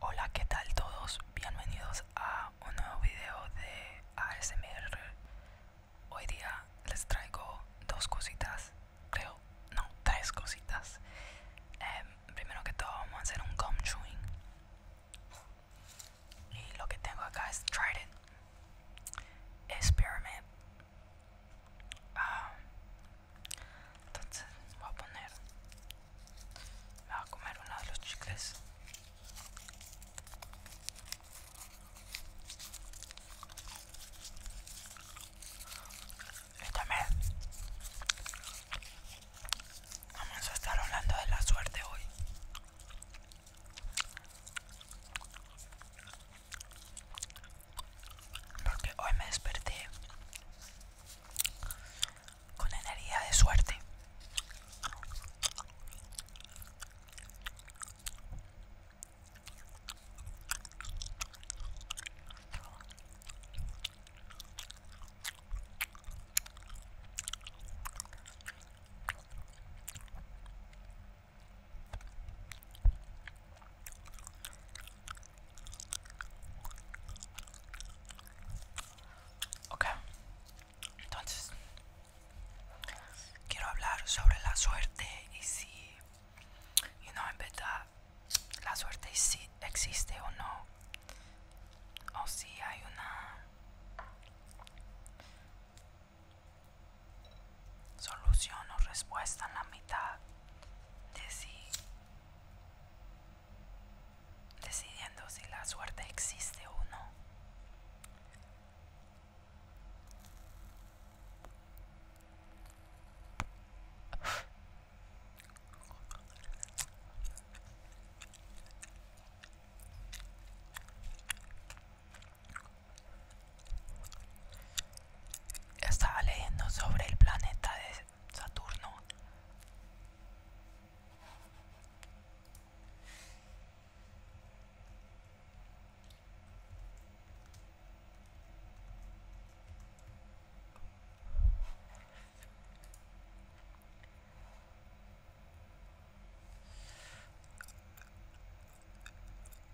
Hola, ¿qué tal todos? Bienvenidos a un nuevo video de ASMR. Hoy día les traigo dos cositas, creo, no, tres cositas. Em, primero que todo vamos a hacer un gum chewing. Y lo que tengo acá es Trident, it experiment. Ah, entonces voy a poner me voy a comer uno de los chicles vamos a estar hablando de la suerte hoy porque hoy me desperté con energía de suerte. Ok, entonces quiero hablar sobre la suerte y si, you know, en verdad, la suerte existe o no, o si hay una solución o respuesta en la mitad de sí decidiendo si la suerte existe o no estaba leyendo sobre el planeta de Saturno.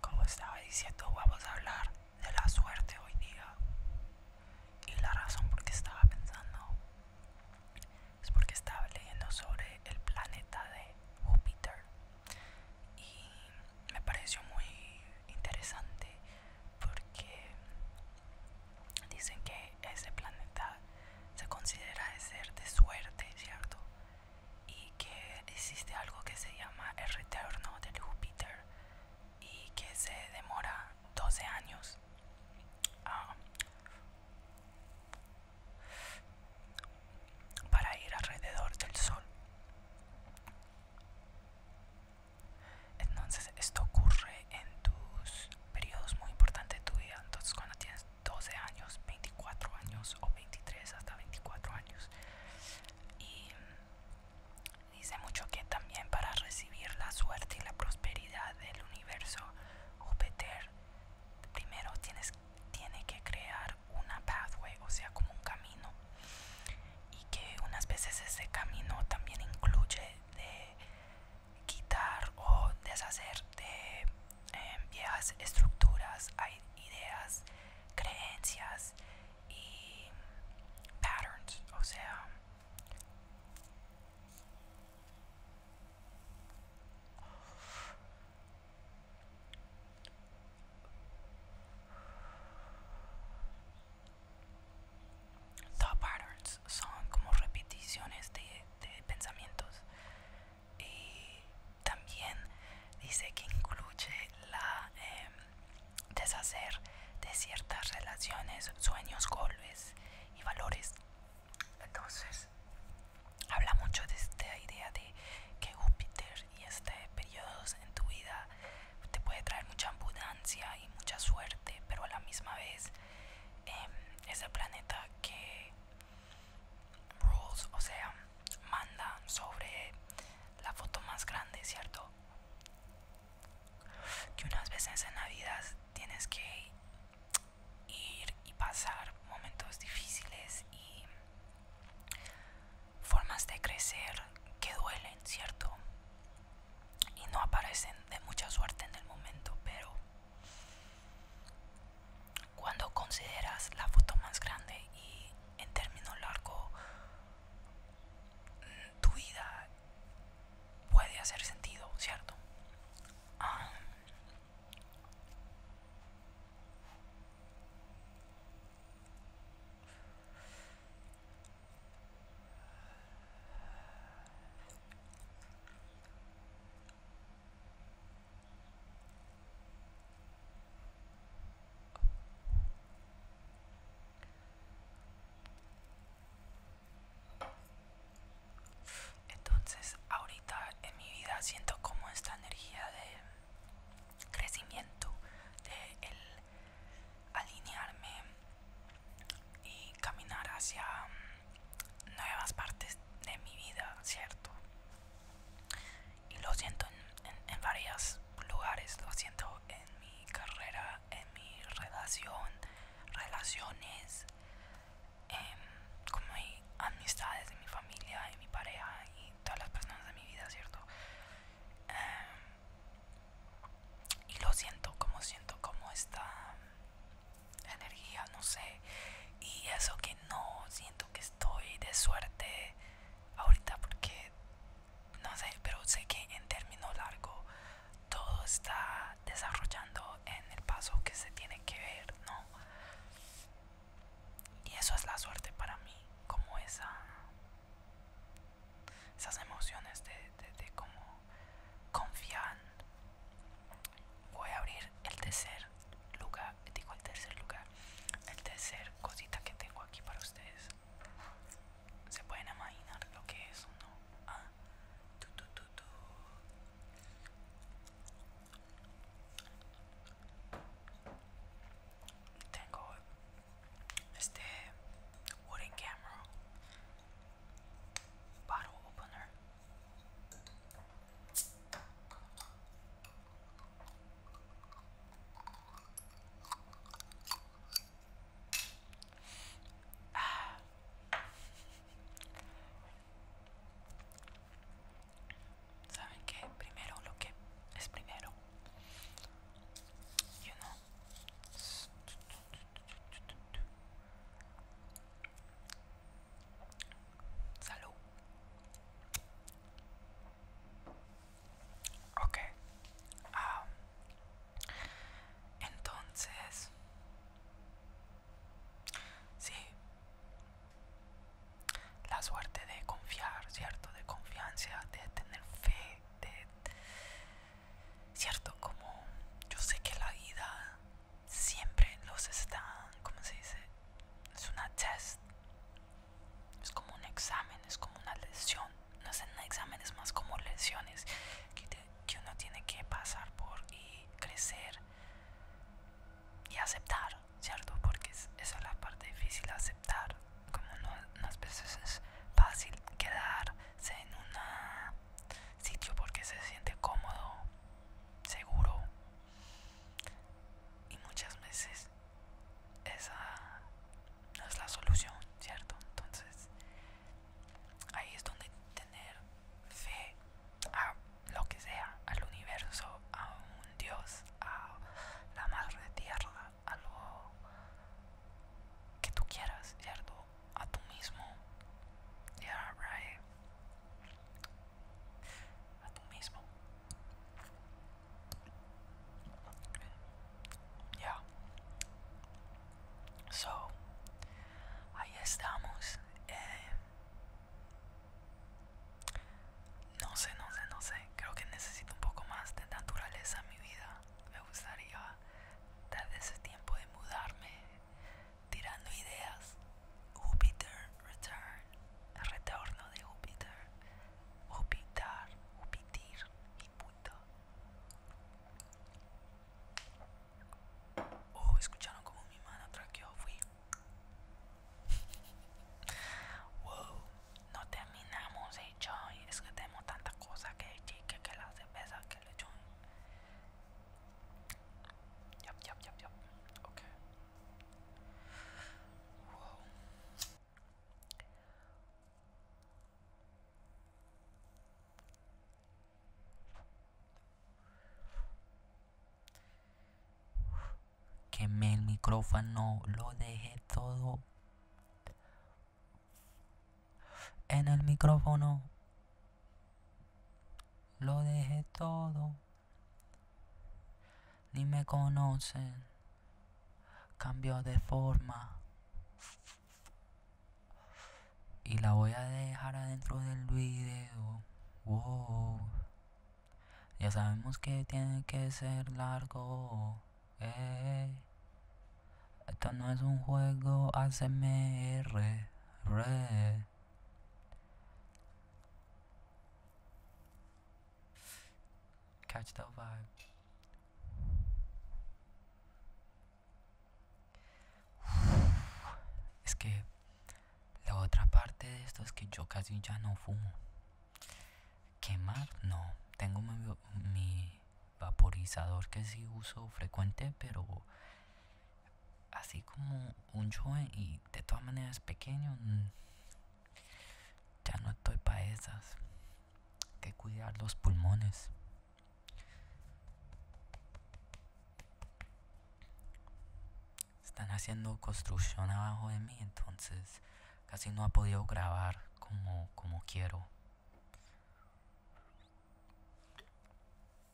Como estaba diciendo, vamos a hablar de la suerte hoy día. Y la razón por qué estaba pensando es porque estaba leyendo sobre el planeta de Júpiter y me pareció muy interesante porque dicen que ese planeta se considera de ser de suerte, ¿cierto? Y que existe algo que se llama el retorno de Júpiter y que se demora 12 años. Ah, para ir alrededor del sol. Entonces esto ocurre en tus periodos muy importantes de tu vida. Entonces cuando tienes 12 años, 24 años o 23 hasta 24 años. Y dice mucho que también para recibir la suerte y la prosperidad del universo, Júpiter primero tienes tiene que crear una pathway, o sea, como un camino. Y que unas veces ese camino también incluye de quitar o deshacer de em, viejas estructuras, ideas, creencias y patterns, o sea, top patterns son como repeticiones de, pensamientos. Y también dice que incluye la em, deshacer de ciertas relaciones, sueños, golpes y valores entonces, habla mucho de esta idea de que Júpiter y este periodos en tu vida te puede traer mucha abundancia y mucha suerte, pero a la misma vez ese em, es planeta que rules, o sea, manda sobre la foto más grande, ¿cierto? Que unas veces en la vida tienes que ir y pasar momentos difíciles y formas de crecer que duelen, ¿cierto? Y no aparecen de mucha suerte en el momento, pero cuando consideras la foto más grande y en término largo mm, tu vida puede hacer sentido, ¿cierto? Entonces ahorita en mi vida siento como esta energía de crecimiento, de el alinearme y caminar hacia mm, nuevas partes de mi vida, ¿cierto? Y lo siento en, varios lugares, lo siento en en mi carrera, en mi relación, relaciones, em, como hay amistades de mi familia, en mi pareja y todas las personas de mi vida, ¿cierto? Em, y lo siento, como siento como esta energía, no sé. Y eso que no siento que estoy de suerte ahorita porque no sé, pero sé que en término largo todo está desarrollando en el paso que se tiene que ver, ¿no? Y eso es la suerte para mí, como esa, esas emociones de, de, confiar. Voy a abrir el tercer lugar, digo el tercer lugar, el tercer cosita que tengo aquí para ustedes se pueden imaginar lo que es uno ah, tu, tu, tu, tengo este wooden camera bottle opener ¿Saben qué? Primero lo que es primero. You know. Salud. Ok. entonces... Sí. La suerte de confiar, ¿cierto? De confianza, de tener fe, ¿Cierto? Como yo sé que la vida siempre los está, como se dice? Es una test es como un examen, es como una lesión. No es un examen, es más como lesiones que, uno tiene que pasar por y crecer y aceptar, ¿cierto? Porque es, esa la parte difícil, aceptar. Como no, unas veces es fácil quedarse en un sitio porque se siente cómodo, seguro. Y muchas veces esa no es la solución, ¿cierto? Entonces ahí es donde tener fe a lo que sea, al universo, a un Dios, a la madre tierra, a lo que tú quieras, ¿cierto? A tu mismo. A tu mismo ya, So, ahí estamos. Eh, no sé, no sé, no sé. Creo que necesito un poco más de naturaleza en mi vida. Me gustaría dar ese tiempo de mudarme, tirando ideas. jupiter return retorno de Júpiter, Júpiter, Júpiter y puto. Oh, escucharon como mi mano traqueó, fui. wow, no terminamos, eh, Es que tenemos tanta cosa que el que la cerveza, que le jun. Yup, yup, yup, yup. Ok. Que Quemé el micrófono, lo dejé todo en el micrófono. Lo dejé todo. Ni me conocen. Cambio de forma. Y la voy a dejar adentro del video. Wow. Ya sabemos que tiene que ser largo. Eh. Esto no es un juego ASMR. red. Catch that vibe. Es que la otra parte de esto es que yo casi ya no fumo. Quemar, no. Tengo mi vaporizador que sí uso frecuente, pero así como un joven y de todas maneras pequeño, mm, ya no estoy para esas. Hay que cuidar los pulmones. Están haciendo construcción abajo de mí, entonces casi no ha podido grabar como, como quiero.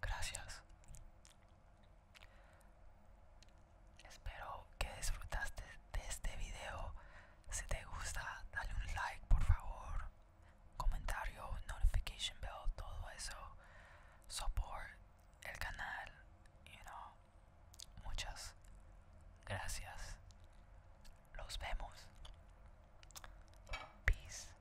Gracias. Espero que disfrutaste de este video. Si te gusta, dale un like por favor. Comentario, notification bell, todo eso. Support el canal, you know. Muchas gracias. Los vemos. Peace.